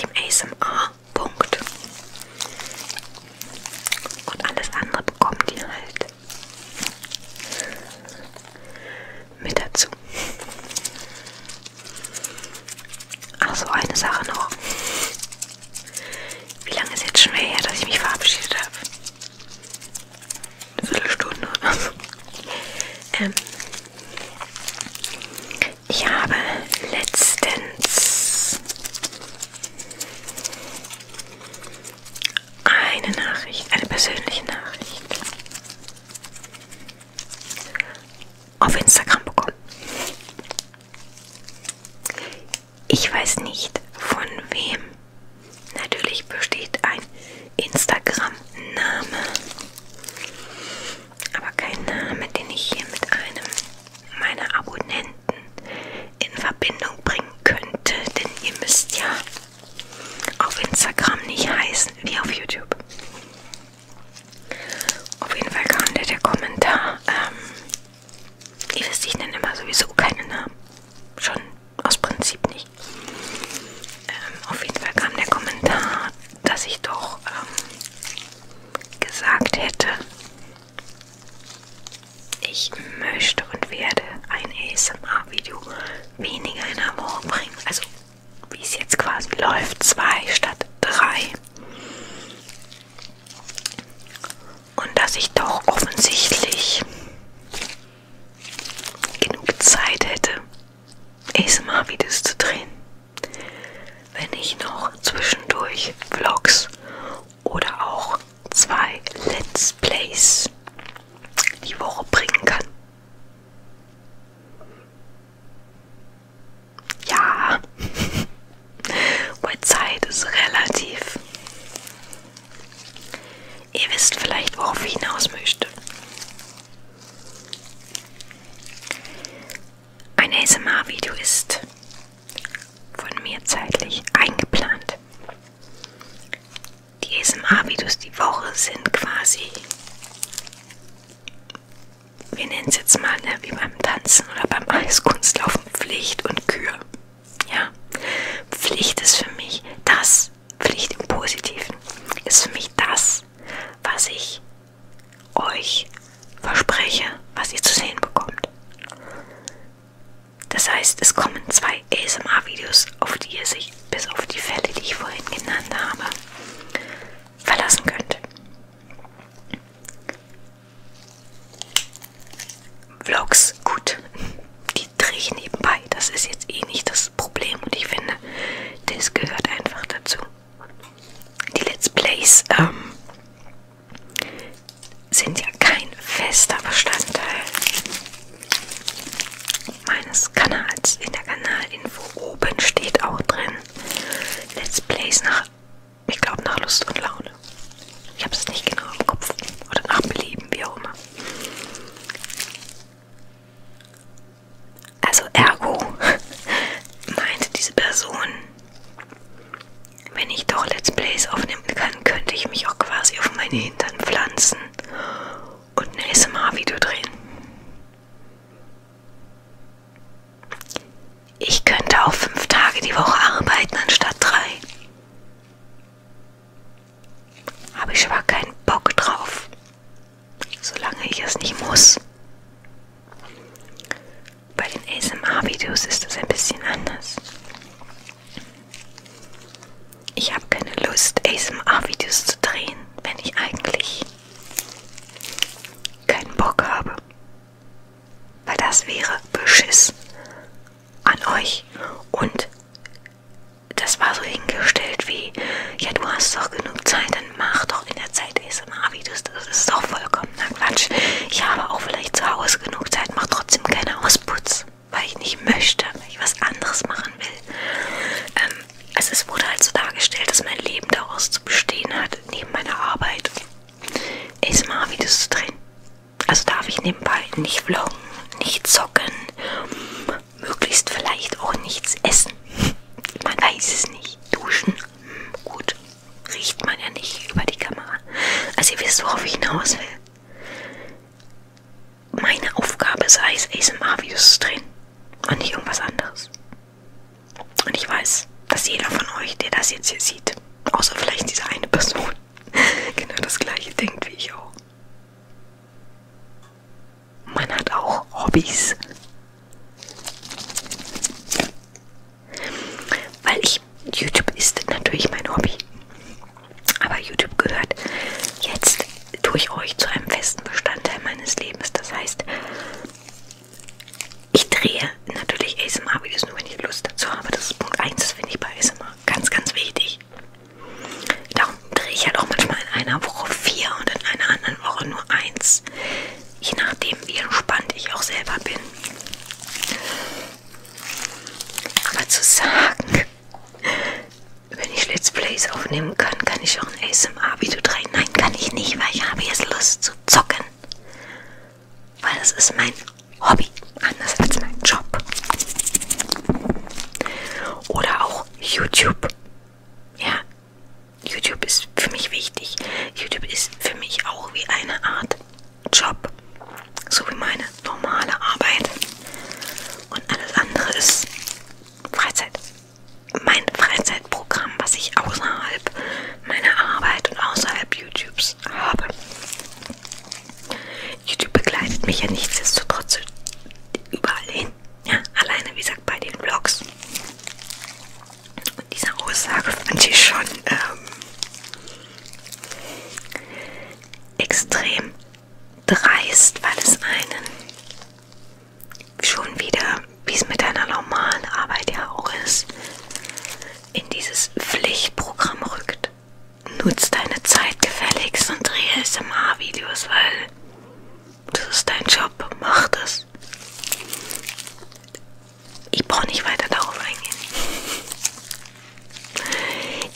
dem ASMR Punkt. Und alles andere bekommen die halt mit dazu. Achso, eine Sache noch. Wie lange ist jetzt schon mehr her, dass ich mich verabschiedet habe? Eine Viertelstunde oder so. Ähm, ich habe letztens eine Nachricht, eine persönliche Nachricht. Auf Instagram bekommen. Ich weiß nicht von wem. Natürlich besteht ein Instagram-Name. Aber kein Name, den ich hier mit einem meiner Abonnenten Elementen in Verbindung bringen könnte, denn ihr müsst ja auf Instagram nicht heißen wie auf YouTube. Auf jeden Fall kam der, der Kommentar. Ähm, ihr wisst, ich nenne immer sowieso keine Namen. Schon aus Prinzip nicht. Ähm, auf jeden Fall kam der Kommentar, dass ich doch ähm, gesagt hätte, ich möchte und werde ein ASMR-Video weniger in Erfahrung bringen. Also wie es jetzt quasi läuft, zwei statt drei. Und dass ich doch offensichtlich genug Zeit hätte, ASMR-Videos zu drehen, wenn ich noch zwischendurch Vlogs oder auch zwei Let's Plays die Woche bringen kann. Ja, weil Zeit ist relativ. Ihr wisst vielleicht, worauf ich hinaus möchte. Ein ASMR-Video ist von mir zeitlich eingeplant. Die SMA-Videos die Woche sind quasi, wir nennen es jetzt mal ne, wie beim Tanzen oder beim Eiskunstlaufen, Pflicht und Kür. Ja, Pflicht ist für mich das, Pflicht im Positiven, ist für mich das, was ich euch verspreche, was ihr zu sehen bekommt. Das heißt, es kommen zwei ASMR-Videos, auf die ihr sich bis auf die Fälle, die ich vorhin genannt habe, verlassen könnt. Vlogs, gut, die drehe ich nebenbei. Das ist jetzt eh nicht das Problem und ich finde, das gehört einfach dazu. Die Let's Plays, ähm, sind ja kein fester Bestandteil meines Kanals. In der Kanalinfo oben steht auch drin Let's Plays nach, ich glaube nach Lust und Laune. Ich habe es nicht genau im Kopf oder nach Belieben, wie auch immer. Also ergo meinte diese Person, wenn ich doch Let's Plays aufnehmen kann, könnte ich mich auch quasi auf meine Hintern pflanzen und ein ASMR-Video drehen. Ich könnte auch fünf Tage die Woche arbeiten anstatt drei. Habe ich aber keinen Bock drauf, solange ich es nicht muss. Bei den ASMR-Videos ist das ein bisschen anders. Ich habe keine Lust, ASMR-Videos zu drehen, wenn ich eigentlich keinen Bock habe. Weil das wäre Beschiss an euch. Und das war so hingestellt wie, ja du hast doch genug Zeit, dann mach doch in der Zeit ASMR-Videos. Das ist doch vollkommen na Quatsch. Ich habe auch vielleicht zu Hause genug Zeit, mache trotzdem keine Ausputz, weil ich nicht möchte, weil ich was anderes machen will. Ähm, also es wurde halt so dargestellt, dass mein Leben daraus zu bestehen hat, neben meiner Arbeit ASMR-Videos zu drehen. Also darf ich nebenbei nicht vloggen, nicht zocken, möglichst vielleicht auch nichts essen. Man weiß es nicht. Duschen, hm, gut riecht man ja nicht über die Kamera. Also ihr wisst, worauf ich hinaus will. Meine Aufgabe sei es, ASMR-Videos zu drehen und nicht irgendwas anderes. Und ich weiß, dass jeder von euch, der das jetzt hier sieht, außer vielleicht diese eine Person, genau das gleiche denkt wie ich auch. Man hat auch Hobbys. Weil ich, YouTube ist natürlich mein Hobby. Aber YouTube gehört jetzt durch euch zu einem festen Bestandteil meines Lebens. Das heißt, ich drehe natürlich ASMR-Videos nur, wenn ich Lust dazu habe. Das ist Punkt 1, das finde ich bei ASMR ganz, ganz wichtig. Darum drehe ich halt auch manchmal in einer Woche vier und in einer anderen Woche nur eins. Je nachdem, wie entspannt ich auch selber bin. Aber zu sagen, wenn ich Let's Plays aufnehmen kann, kann ich auch ein ASMR-Video drehen. Nein, kann ich nicht, weil ich habe jetzt Lust zu zocken. Weil das ist mein Hobby, anders als mein Job. Oder auch YouTube. Ja, YouTube ist für mich wichtig. YouTube ist für mich auch wie eine Art Job, so wie meine normale Arbeit. Und alles andere ist Freizeit. Mein Freizeitprogramm, was ich außerhalb meiner Arbeit und außerhalb YouTubes habe. YouTube begleitet mich ja nichtsdestotrotz überall hin. Ja, alleine, wie gesagt, bei den Vlogs. Und diese Aussage fand ich schon ähm, extrem dreist, weil es einen schon wieder, wie es mit einer normalen Arbeit ja auch ist, in dieses Pflichtprogramm rückt. Nutz deine Zeit gefälligst und drehe SMR-Videos, weil das ist dein Job, mach das. Ich brauche nicht weiter darauf eingehen.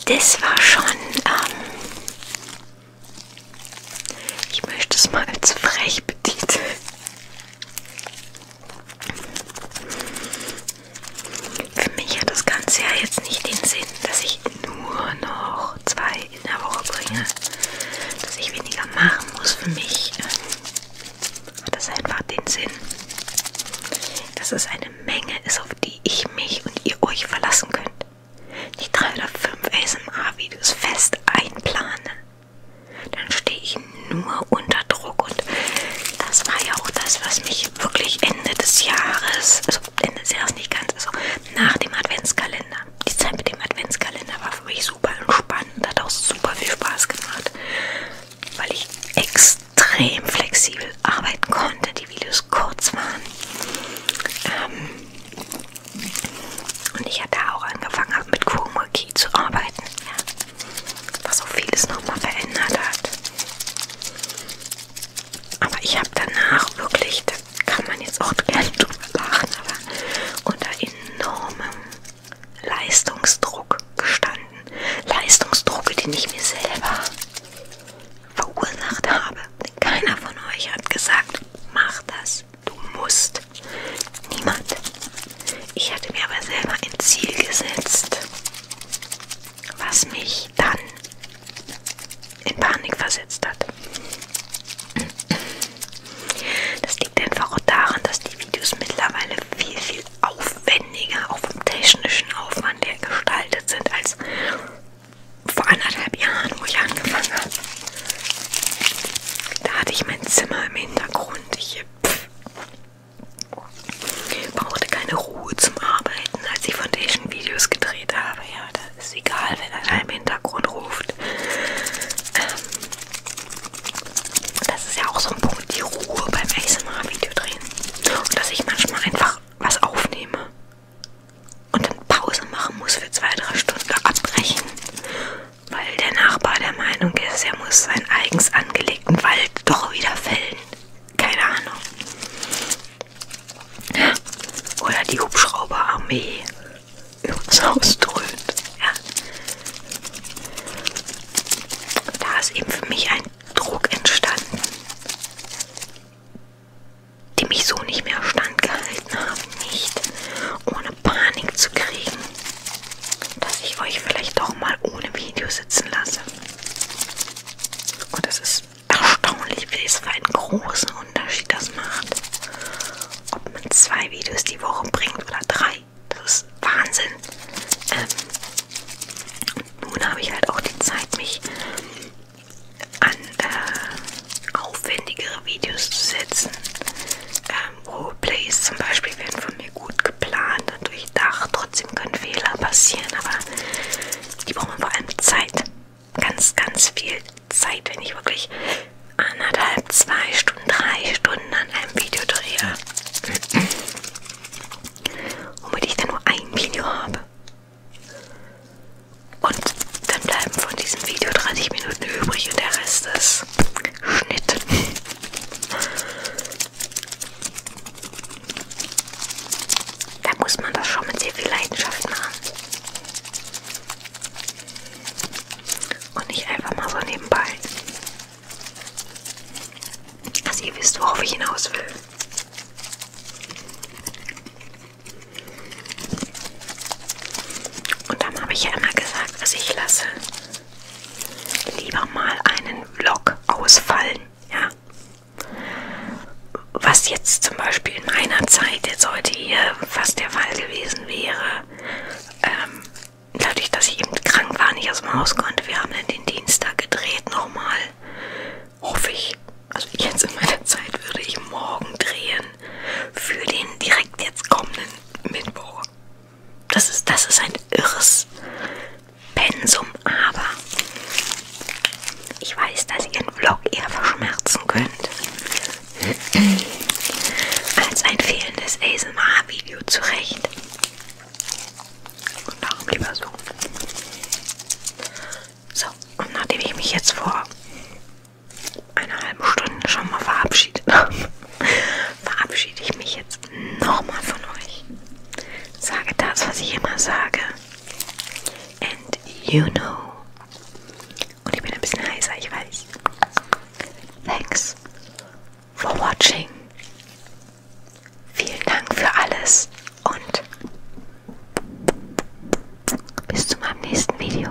Das war schon, ähm, ich möchte es mal als frech betiteln. Für mich hat das Ganze ja jetzt nicht den Sinn, dass ich nur noch zwei in der Woche bringe, dass ich weniger machen muss. Für mich ähm, hat das einfach den Sinn, dass es eine eine Menge ist, auf die ich mich und ihr euch verlassen könnt. Die drei oder fünf ASMR-Videos fest einplane, dann stehe ich nur unter Druck und das war ja auch das, was mich wirklich Ende des Jahres, also Ende des Jahres nicht ganz, also nach dem Adventskalender. Die Zeit mit dem Adventskalender war für mich super entspannt und hat auch super viel Spaß gemacht, weil ich extra extrem flexibel arbeiten konnte, die Videos kurz waren. Ähm, und ich ja da auch angefangen habe, mit Chroma Key zu arbeiten, ja. was auch vieles nochmal verändert hat. Aber ich habe danach wirklich, da kann man jetzt auch gerne drüber lachen, aber unter enormem Leistungsdruck gestanden. Leistungsdruck, den ich mir selber verursacht habe. Denn keiner von euch hat gesagt, mach das, du musst. Niemand. Ich hatte mir aber selber ein Ziel gesetzt, was mich dann in Panik versetzt hat. Das liegt einfach auch daran, dass die Videos mittlerweile viel, viel viel aufwendiger, auch vom technischen Aufwand her gestaltet sind, als vor anderthalb Jahren, wo ich angefangen habe. Da hatte ich mein Zimmer im Hintergrund. Ich pff, äh, brauchte keine Ruhe zum Arbeiten, als ich Foundation-Videos gedreht habe. Ja, das ist egal, wenn einer im Hintergrund ruft. Ähm, das ist ja auch so ein Punkt, die Ruhe beim ASMR-Video drehen. Und dass ich manchmal einfach einfach was aufnehme und dann Pause machen muss für zwei, drei Stunden abbrechen, weil der Nachbar der Meinung ist, er muss seinen eigens angelegten Wald doch wieder fällen. Keine Ahnung. Oder die Hubschrauberarmee uns ausdröhnt. Ja. Da ist eben für mich ein Druck entstanden, die mich so nicht mehr standgehalten haben, nicht ohne Panik zu kriegen, dass ich euch vielleicht doch mal ohne Video sitzen lasse. Und es ist erstaunlich, wie es für einen großen Unterschied das macht, ob man zwei Videos die Woche bringt oder drei. Das ist Wahnsinn. Ähm, nun habe ich halt auch die Zeit, mich an äh, aufwendigere Videos zu setzen. Ähm, Roleplays zum Beispiel werden von mir gut geplant und durchdacht. Trotzdem können Fehler passieren, aber die brauchen vor allem Zeit. Ganz, ganz viel Zeit, wenn ich wirklich anderthalb, zwei Stunden, drei Stunden an einem Video drehe womit ich dann nur ein Video habe. Und dann bleiben von diesem Video 30 Minuten übrig und der Rest ist Schnitt. Da muss man das schon mit sehr viel Leidenschaft machen. Und nicht einfach mal so nebenbei. Also ihr wisst, worauf ich hinaus will. Und dann habe ich ja immer gesagt, also ich lasse lieber mal einen Vlog ausfallen, ja. Was jetzt zum Beispiel in meiner Zeit jetzt heute hier fast der Fall gewesen wäre, ähm, dadurch, dass ich eben krank war, nicht aus dem Haus konnte. Wir haben dann den Dienstag gedreht nochmal hoffe ich, also jetzt in meiner Zeit würde ich morgen drehen für den direkt jetzt kommenden Mittwoch. Das ist, das ist ein irres Pensum, aber ich weiß, dass ihr einen Vlog eher verschmerzen könnt, als ein fehlendes ASMR-Video zurecht. Und darum lieber so. So, und nachdem ich mich jetzt vor einer halben Stunde schon mal verabschiedet habe, verabschiede ich mich jetzt nochmal von euch. Sage das, was ich immer sage. And you know. Und ich bin ein bisschen heißer, ich weiß. Thanks for watching. Vielen Dank für alles und bis zu meinem nächsten Video.